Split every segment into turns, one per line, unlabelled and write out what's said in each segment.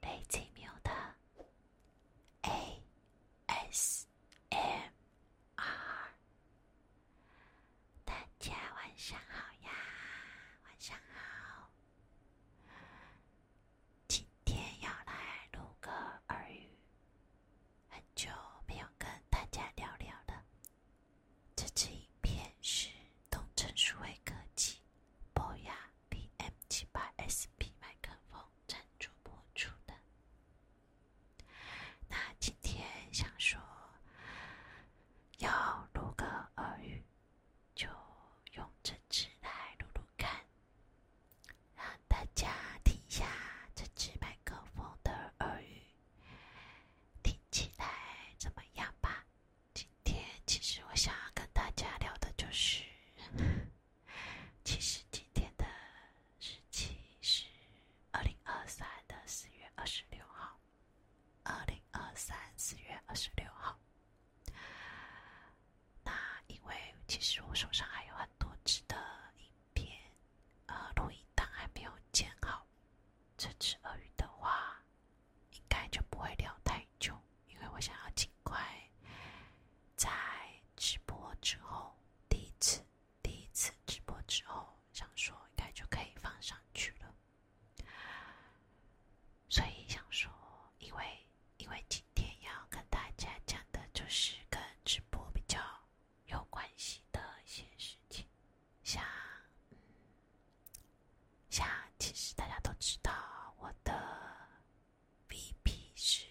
雷奇妙的 A S M R，大家晚上好呀，晚上好，今天要来录个耳语。很久没有跟大家聊聊了，这支影片是东城数位科技播呀。P M 七八 S P 麦克风赞助播出的。那今天想说要录个耳语，就用这支来录录看，让大家听一下这支麦克风的耳语听起来怎么样吧。今天其实我想要跟大家聊的就是，其实今天的日期是二零二三的四月二十六号，二零二三四月二十六号。那因为其实我手上还有很多支的影片，呃，录音档还没有剪好，这只鳄鱼的话。应该就不会聊太久，因为我想要尽快在直播之后第一次第一次直播之后，想说应该就可以放上去了。所以想说，因为因为今天要跟大家讲的就是跟直播比较有关系的一些事情，像。像其实大家都知道，我的 VP 是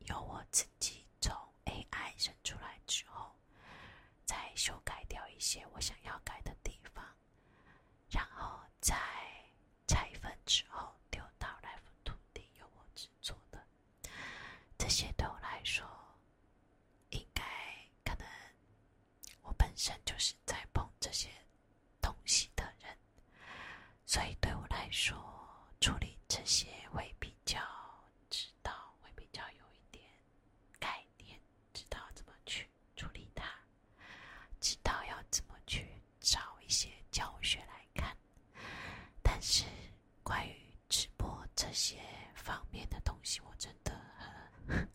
由我自己从 AI 生出来之后，再修改掉一些我想要改的地方，然后再拆分之后丢到 Life 图由我制作的。这些对我来说，应该可能我本身就是在碰这些。东西的人，所以对我来说，处理这些会比较知道，会比较有一点概念，知道怎么去处理它，知道要怎么去找一些教学来看。但是关于直播这些方面的东西，我真的很，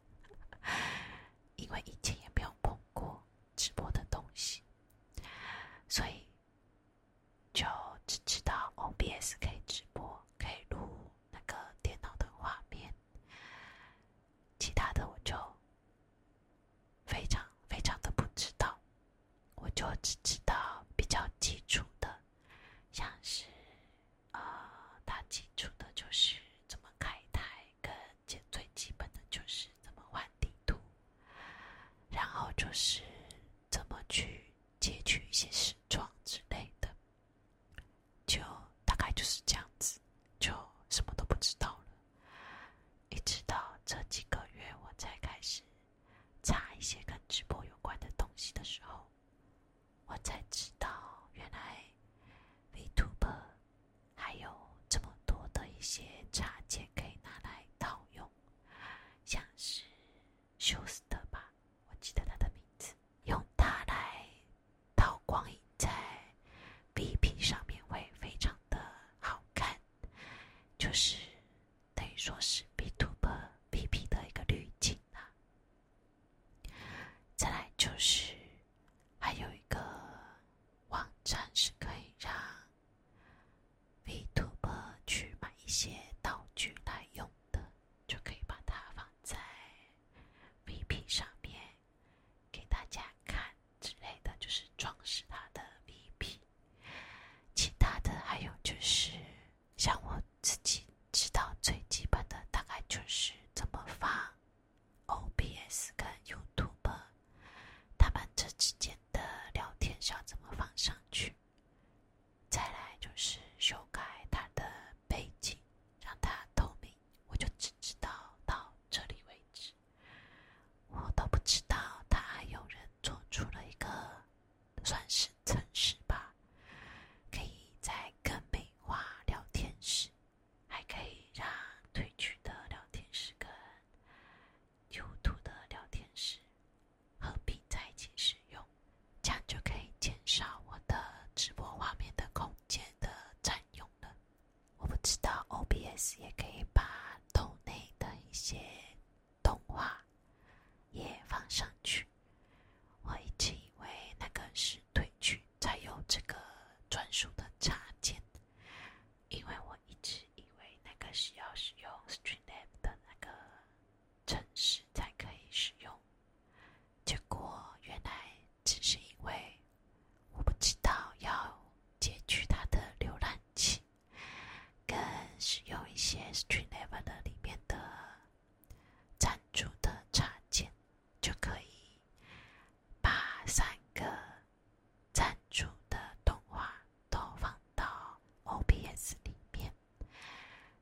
因为以前也没有碰过。直播的东西，所以就只知道 OBS 可以直播，可以录那个电脑的画面，其他的我就非常非常的不知道，我就只知道比较基础的，像是呃，它基础的就是怎么开台。跟最基本的就是怎么玩地图，然后就是怎么去截取一些时装之类的，就大概就是这样子，就什么都不知道了。一直到这几个月我才开始查一些跟直播有关的东西的时候，我才知道原来 Vtuber。还有这么多的一些插件可以拿来套用，像是休斯特吧，我记得它的名字，用它来套光影在 B P 上面会非常的好看，就是等于说是 B to B P 的一个滤镜啊。再来就是。还有一个网站是可以让 v t u b 去买一些道具来用的，就可以把它放在 VP 上面给大家看之类的，就是装饰它的 VP。其他的还有就是，像我自己知道最基本的，大概就是怎么发。OBS 跟 YouTube，他们这之间的聊天秀怎么放上去？再来就是修改它的背景，让它透明。我就只知道到这里为止，我都不知道他有人做出了一个算是尝试吧，可以在跟美花聊天室。还可以让退去的聊天室跟有图的聊天室合并在一起使用，这样就可以减少我的直播画面的空间的占用了。我不知道 OBS 也可以把豆内的一些动画也放上去。我一直以为那个是退去才有这个专属的插件。因为我一直以为那个是要使用 Streamlab 的那个程市才可以使用，结果原来只是因为我不知道要截取它的浏览器，跟使用一些 Streamlab 的里面的赞助的插件就可以。把三个赞助的动画都放到 OBS 里面，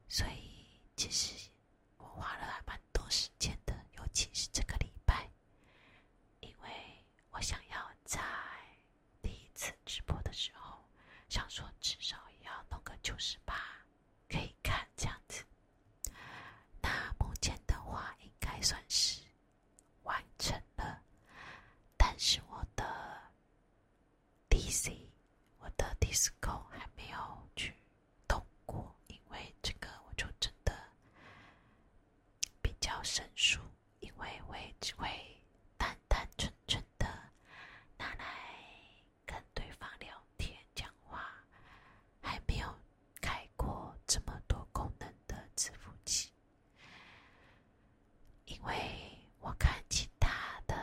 所以其实我花了蛮多时间的，尤其是这个礼拜，因为我想要在第一次直播的时候，想说至少也要弄个九十八可以看这样子。那目前的话，应该算是。完成了，但是我的 D C 我的 Disco 还没有去通过，因为这个我就真的比较生疏，因为我也只会单单纯纯的拿来跟对方聊天讲话，还没有。开过这么多功能的字符器，因为我看其他的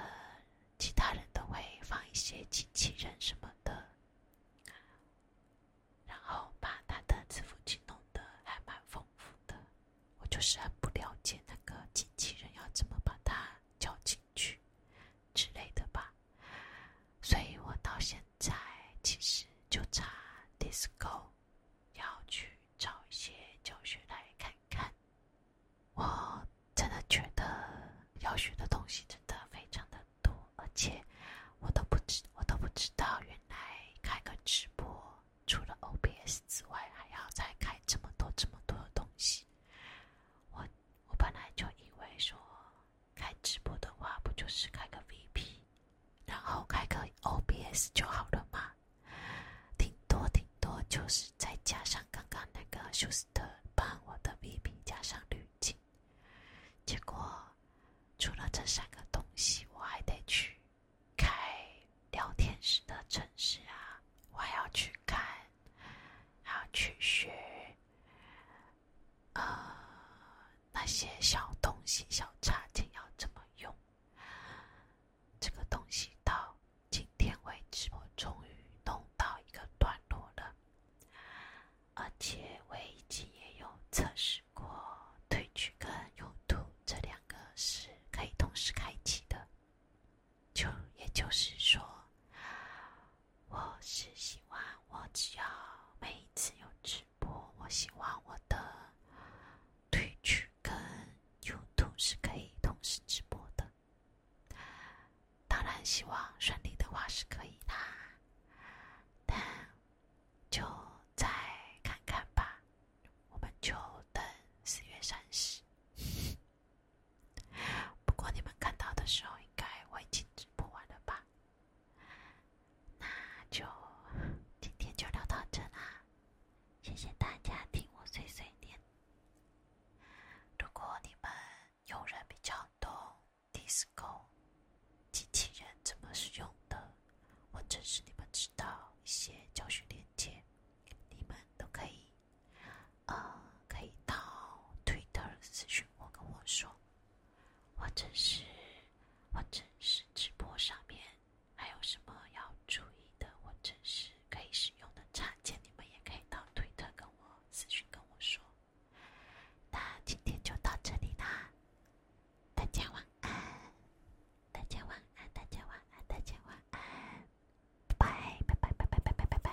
其他人都会放一些机器人什么的，然后把他的字符器弄得还蛮丰富的。我就是很不了解那个机器人要怎么把它叫进去之类的吧，所以我到现。在其实就差 disco，要去找一些教学来看看。我真的觉得要学的东西真的非常的多，而且我都不知我都不知道，原来开个直播除了 OBS 之外，还要再开这么多这么多的东西。我我本来就以为说。开直播的话，不就是开个 VP，然后开个 OBS 就好了嘛？顶多顶多就是再加上刚刚那个休斯特帮我的 VP 加上滤镜，结果除了这三个东西，我还得去开聊天室的城市啊，我还要去看，还要去学，啊。那些小东西、小插件要怎么用？这个东西到今天为止，我终于弄到一个段落了。而且我已经也有测试过，退去跟用途这两个是可以同时开启的。就也就是说，我是希望我只要每一次用去。不，我希望我的推去跟 YouTube 是可以同时直播的。当然，希望顺利的话是可以啦，但就再看看吧。我们就等四月三十。不过你们看到的时候，应该我已经直播完了吧？那就今天就聊到这啦，谢谢大家听我碎碎念。如果你们用人比较多 d i s c o 机器人怎么使用的，或者是你们知道一些教学链接，你们都可以，呃，可以到 Twitter 咨询我，跟我说，或者是。或者是直播上面还有什么要注意的，或者是可以使用的插件，你们也可以到推特跟我私信跟我说。那今天就到这里啦，大家晚安，大家晚安，大家晚安，大家晚安，拜拜，拜拜，拜拜，拜拜，拜拜。